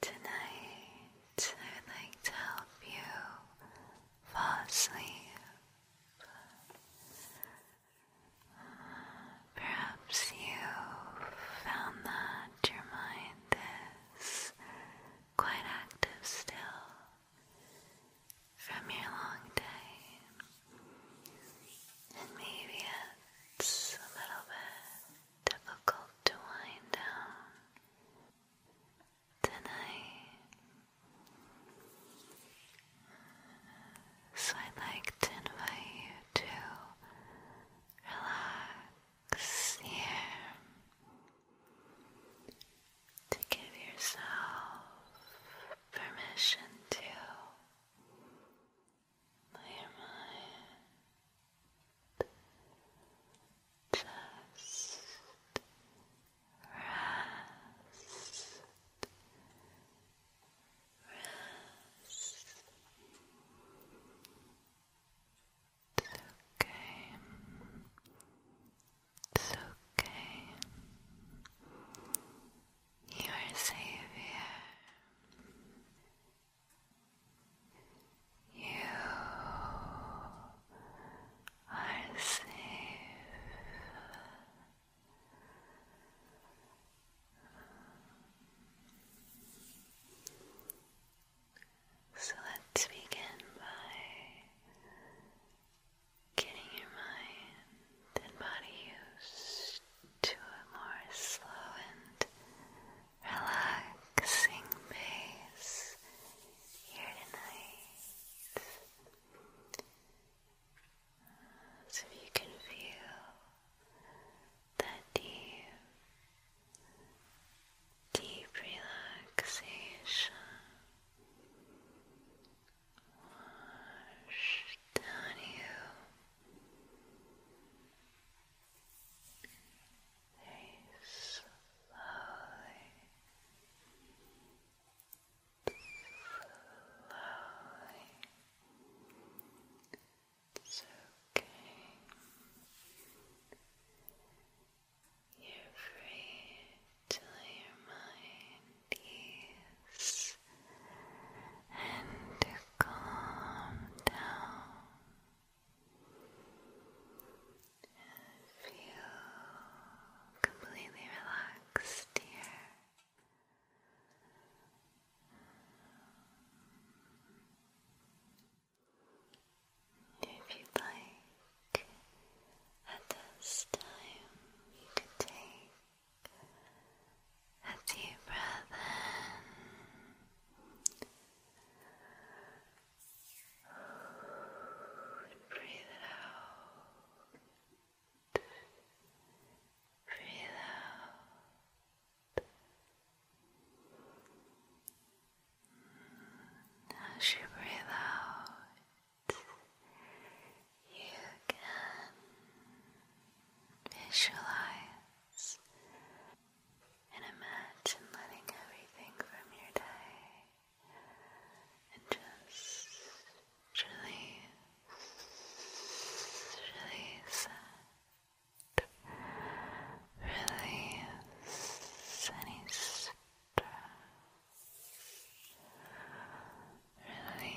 Tonight, I would like to help you fall asleep. Perhaps you found that your mind is quite active still from your long day. And maybe it's a little bit difficult to wind down tonight. So I'd like to invite you to relax here to give yourself permission to clear mind. Just rest. Rest. It's okay. It's okay. You are safe here. You are safe. So let's begin by getting your mind and body used to a more slow and relaxing pace here tonight. So you can feel that deep, deep relaxation wash down you. They slowly, slowly. It's okay. you free till your mind and to calm down. Feel completely relaxed here. If you like, at this time, you could take a deep breath in. breathe it out. Breathe out. As you breathe out, you can visualize eyes and imagine letting everything from your day and just release, release release any stress, release any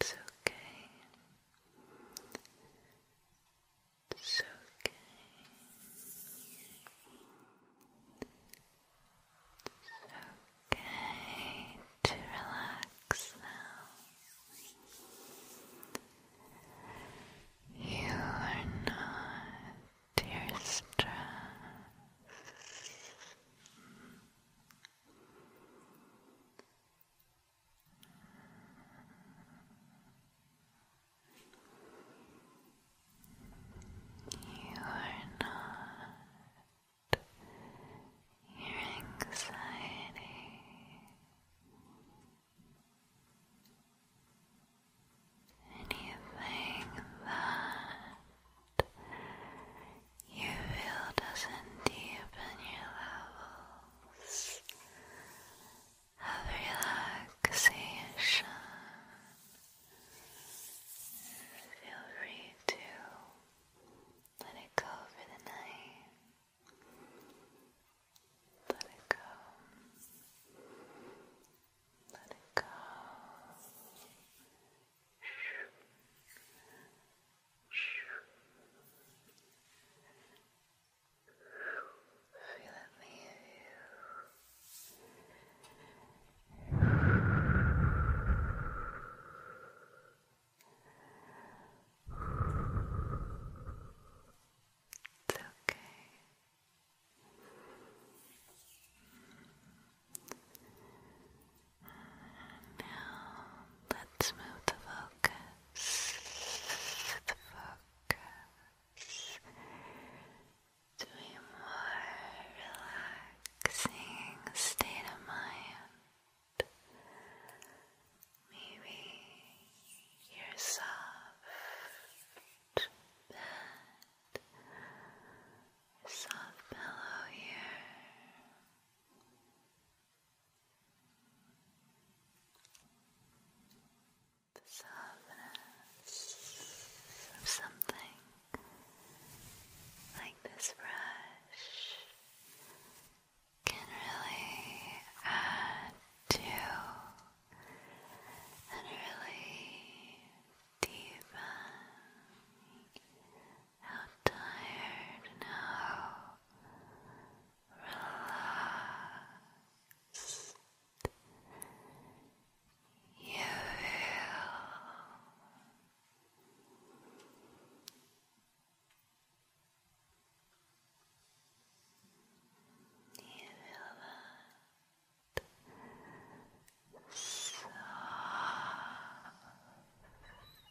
It's okay. It's okay. It's okay to relax now. You are not your you are not your anxiety. Anything that you feel doesn't your levels of relaxation. Feel free to let it go for the night. Let it go. Let it go. Feel it leave you. It's okay. And now let's move the focus, to a more relaxing state of mind. Maybe your soft bed, soft pillow here the softness of something like this brush can really add to and really deepen how tired now? Relaxed. You feel. You feel that.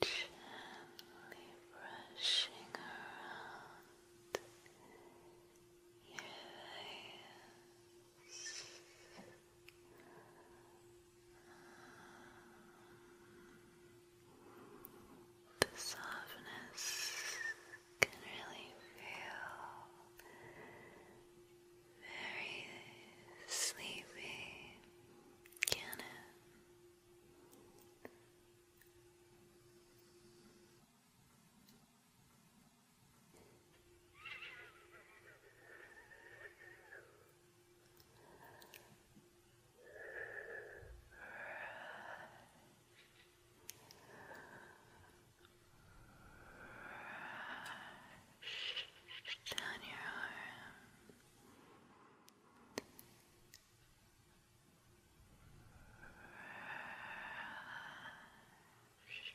Gently brushing around your legs. The softness can really feel very sleepy, can it? Brush down your arm. Brush. Brush.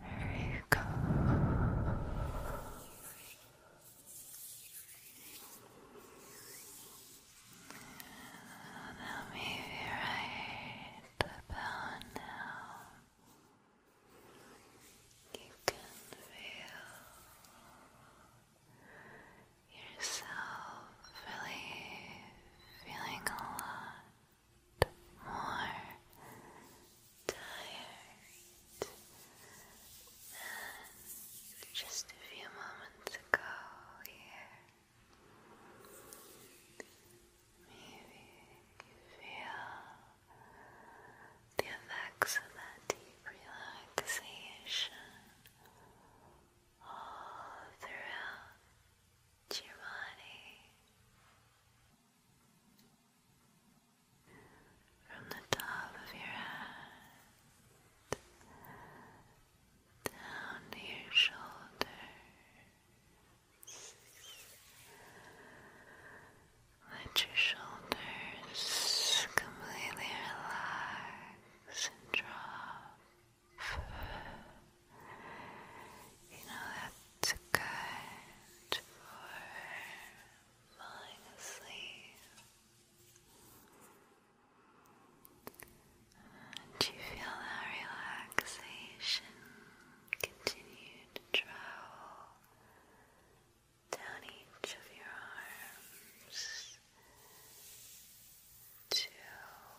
There you go. And I'll right about now. You can feel yourself really feeling a lot more tired than just a few moments ago here. Maybe you feel the effects of that deep relaxation all throughout your body. From the top of your head down to your shoulder, let your shoulders completely relax and drop. You know that's good for falling asleep. And you feel that relaxation Continue to travel down each of your arms to your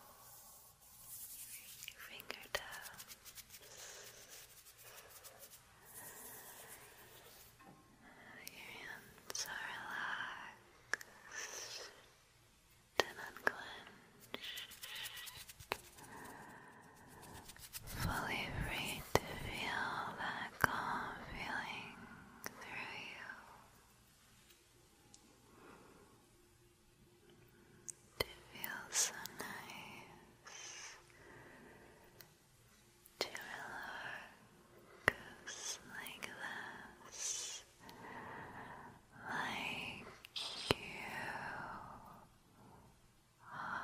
fingertips. Your hands are relaxed and unclenched fully free to feel that calm feeling through you. It feels so nice to relax like this, like you Focus on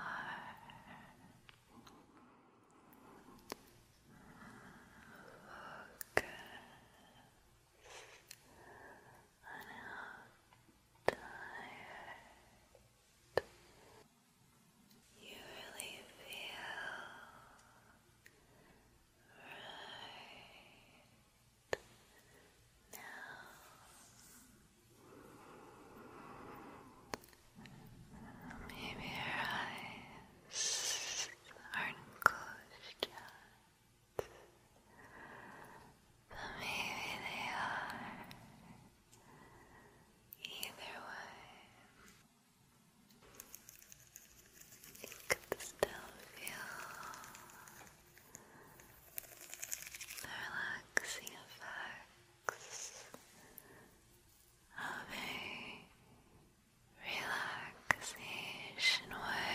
how tired you really feel right now. Maybe your eyes aren't closed yet, but maybe they are. Either way, you could still feel the relaxing effects of a relaxation wave.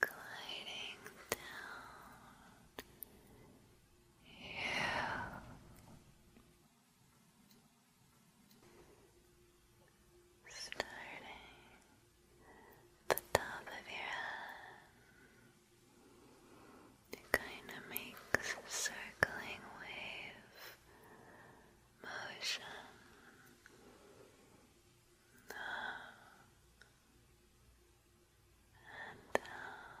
Gliding down you Starting at the top of your head, kind of makes a circling wave motion up and down.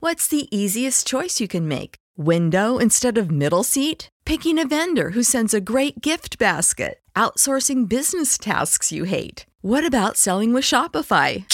What's the easiest choice you can make? Window instead of middle seat? Picking a vendor who sends a great gift basket? Outsourcing business tasks you hate? What about selling with Shopify?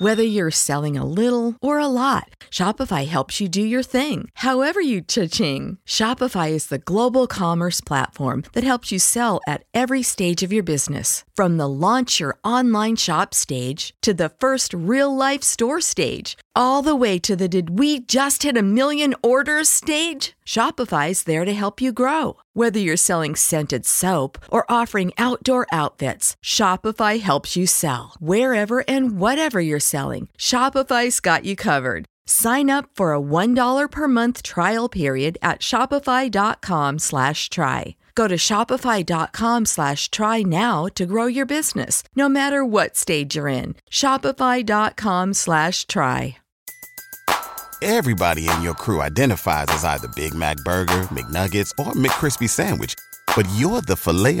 Whether you're selling a little or a lot, Shopify helps you do your thing, however you cha-ching. Shopify is the global commerce platform that helps you sell at every stage of your business. From the launch your online shop stage to the first real-life store stage, all the way to the did we just hit a million orders stage? Shopify is there to help you grow. Whether you're selling scented soap or offering outdoor outfits, Shopify helps you sell wherever and whatever you're selling, Shopify's got you covered. Sign up for a $1 per month trial period at shopify.com slash try. Go to shopify.com slash try now to grow your business, no matter what stage you're in. Shopify.com slash try. Everybody in your crew identifies as either Big Mac Burger, McNuggets, or McCrispy Sandwich, but you're the filet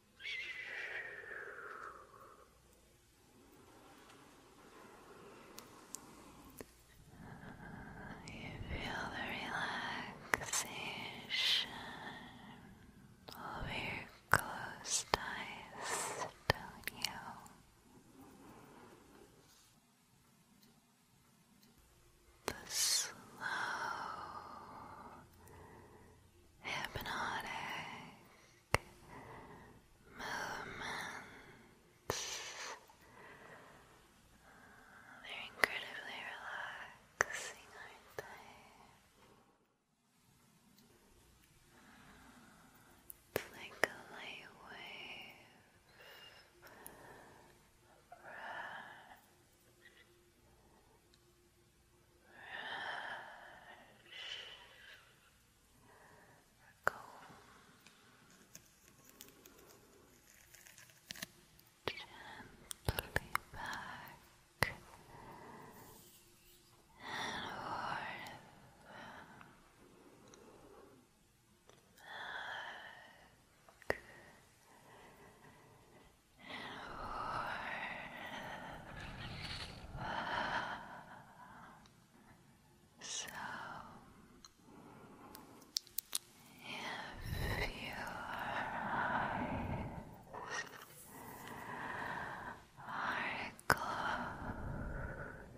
You feel the relaxation over your closed eyes, don't you? The slow hypnotic movements. They're incredibly relaxing, aren't they? It's like a light wave Go. Gently back and forth. So, if your are closed,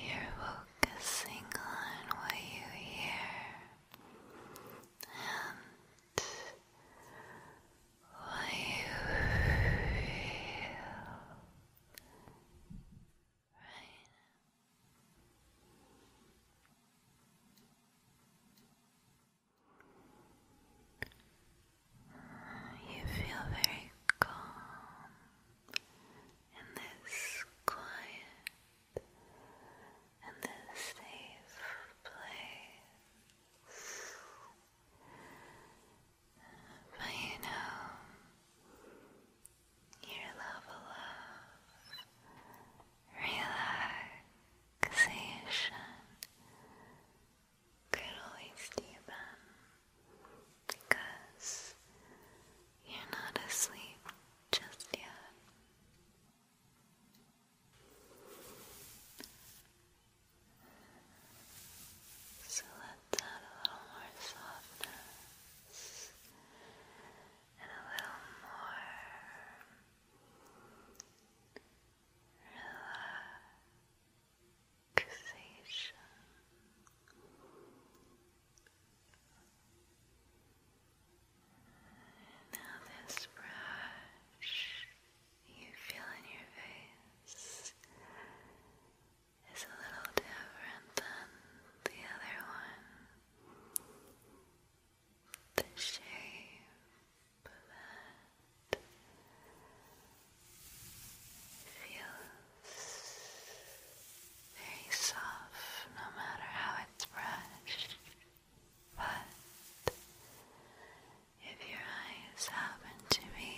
you're focusing on what you hear and what you feel right you feel very calm in this quiet and this safe place. But you know, your level of relaxation could always deepen because you're not asleep just yet. So let's a little more softness and a little more relaxation. Now this brush you feel in your face is a little different than the other one. The shape of it feels very soft no matter how it's brushed. But if your eyes happen to be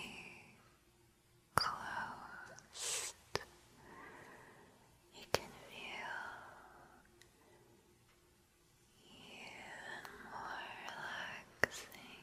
closed, you can feel even more relaxing.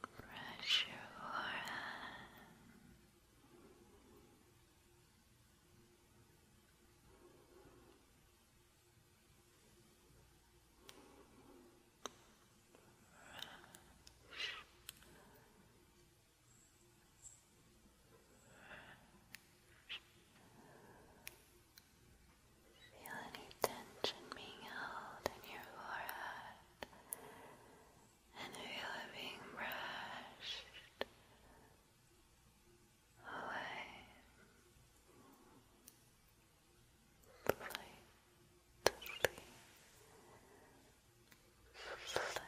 Brush your forehead. Feel any tension being held in your forehead and feel it being brushed away. Lightly, lightly, carefully,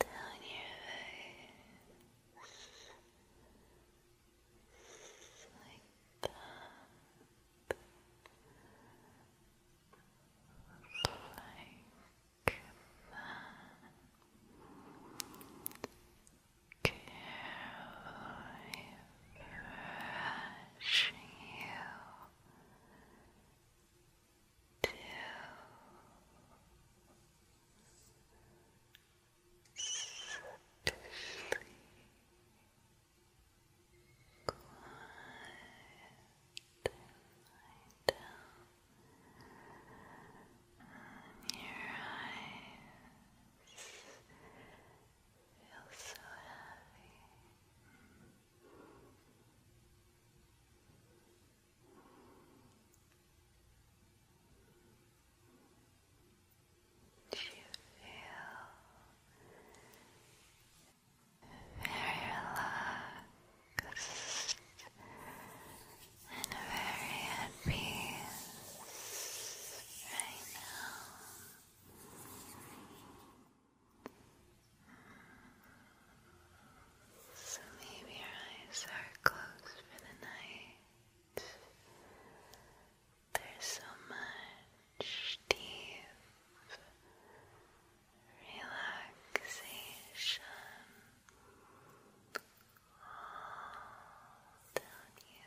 down your face like that, like that, carefully brushing you two, sleep quiet and your eyes feel so heavy do you feel very relaxed and very at peace right now? So maybe your eyes are closed for the night. There's so much deep relaxation all you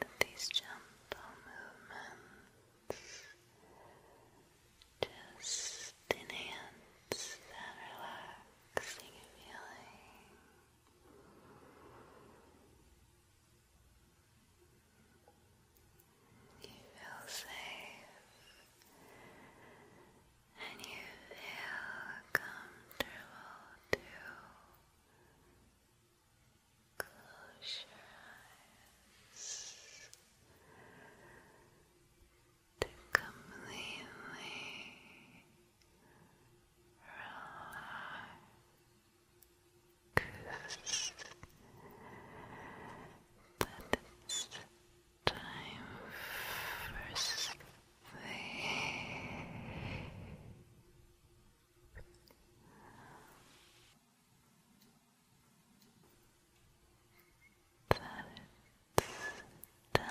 that these gentle movements just enhance that relaxing feeling. You feel safe and you feel comfortable too. Close your eyes to completely relax. But it's time for sleep that it's time for rest. Rest.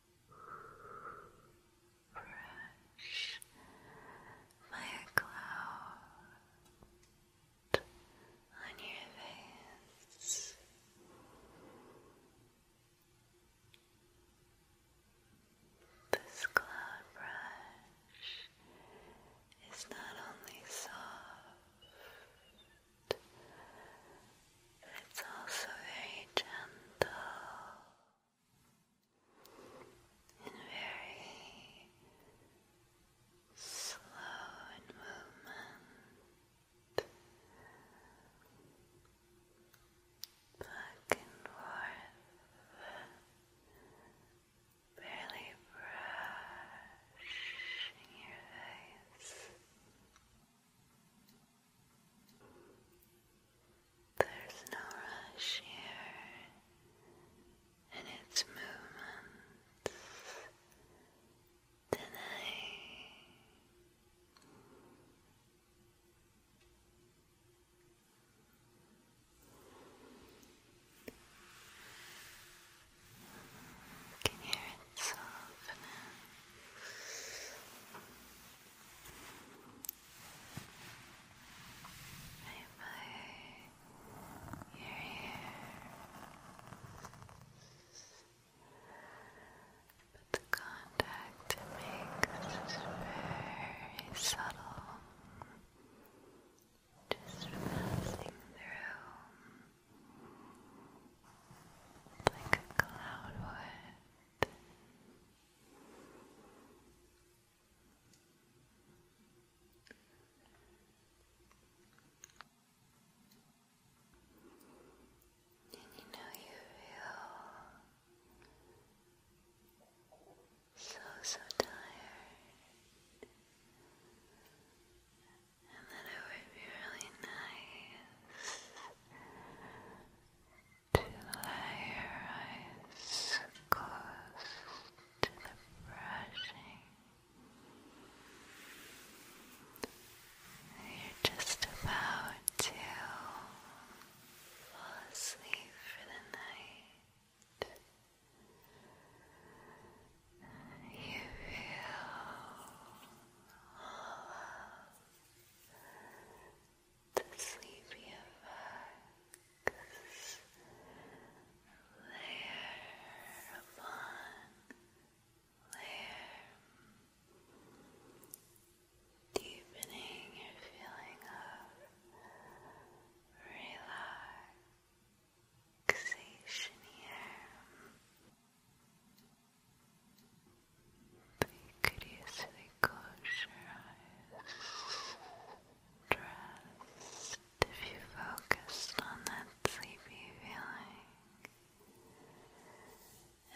brush my cloud on your face. This cloud brush is not only soft it's also very gentle and very slow in movement. Back and forth, barely brushing your face. There's no rush here in its movements today. You can hear it softening. Bye bye. You're But the contact makes is very subtle. Just passing through like a cloud And you know you feel so, so tired. And that it would be really nice to allow your eyes close to the brushing. You're just about to fall asleep for the night. You feel the sleepy effects layer upon layer, deepening your feeling of relaxation here. You close your eyes, trust if you focused on that sleepy feeling.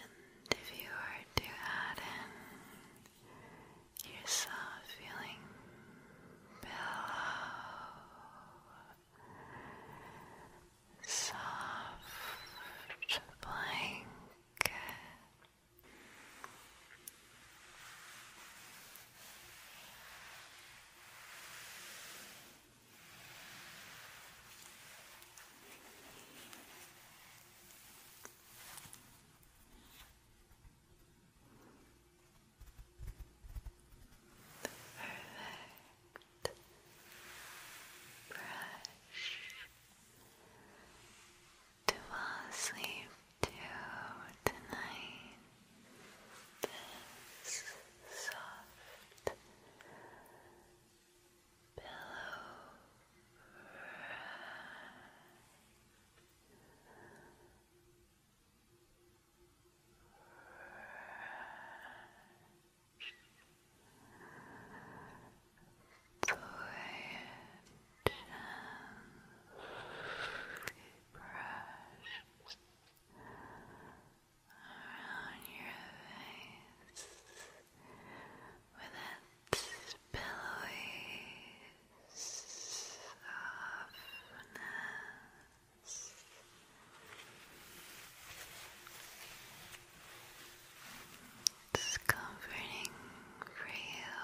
And if you were to add in your soft feeling pillow, soft blanket. Perfect brush to fall asleep to tonight. This soft pillow brush around your face with its pillowy softness. It's comforting for you.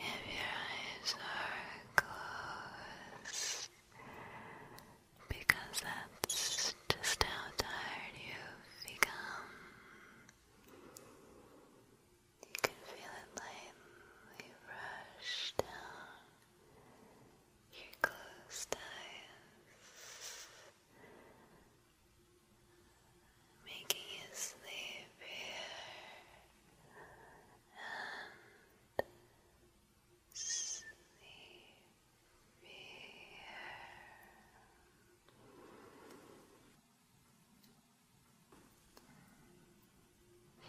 And if your eyes are closed, because that's just how tired you've become. You can feel it lightly rush down your closed eyes, making you sleepier and sleepier.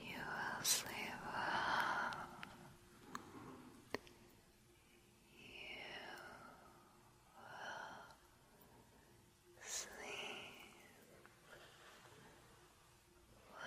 You will sleep well. You will sleep well.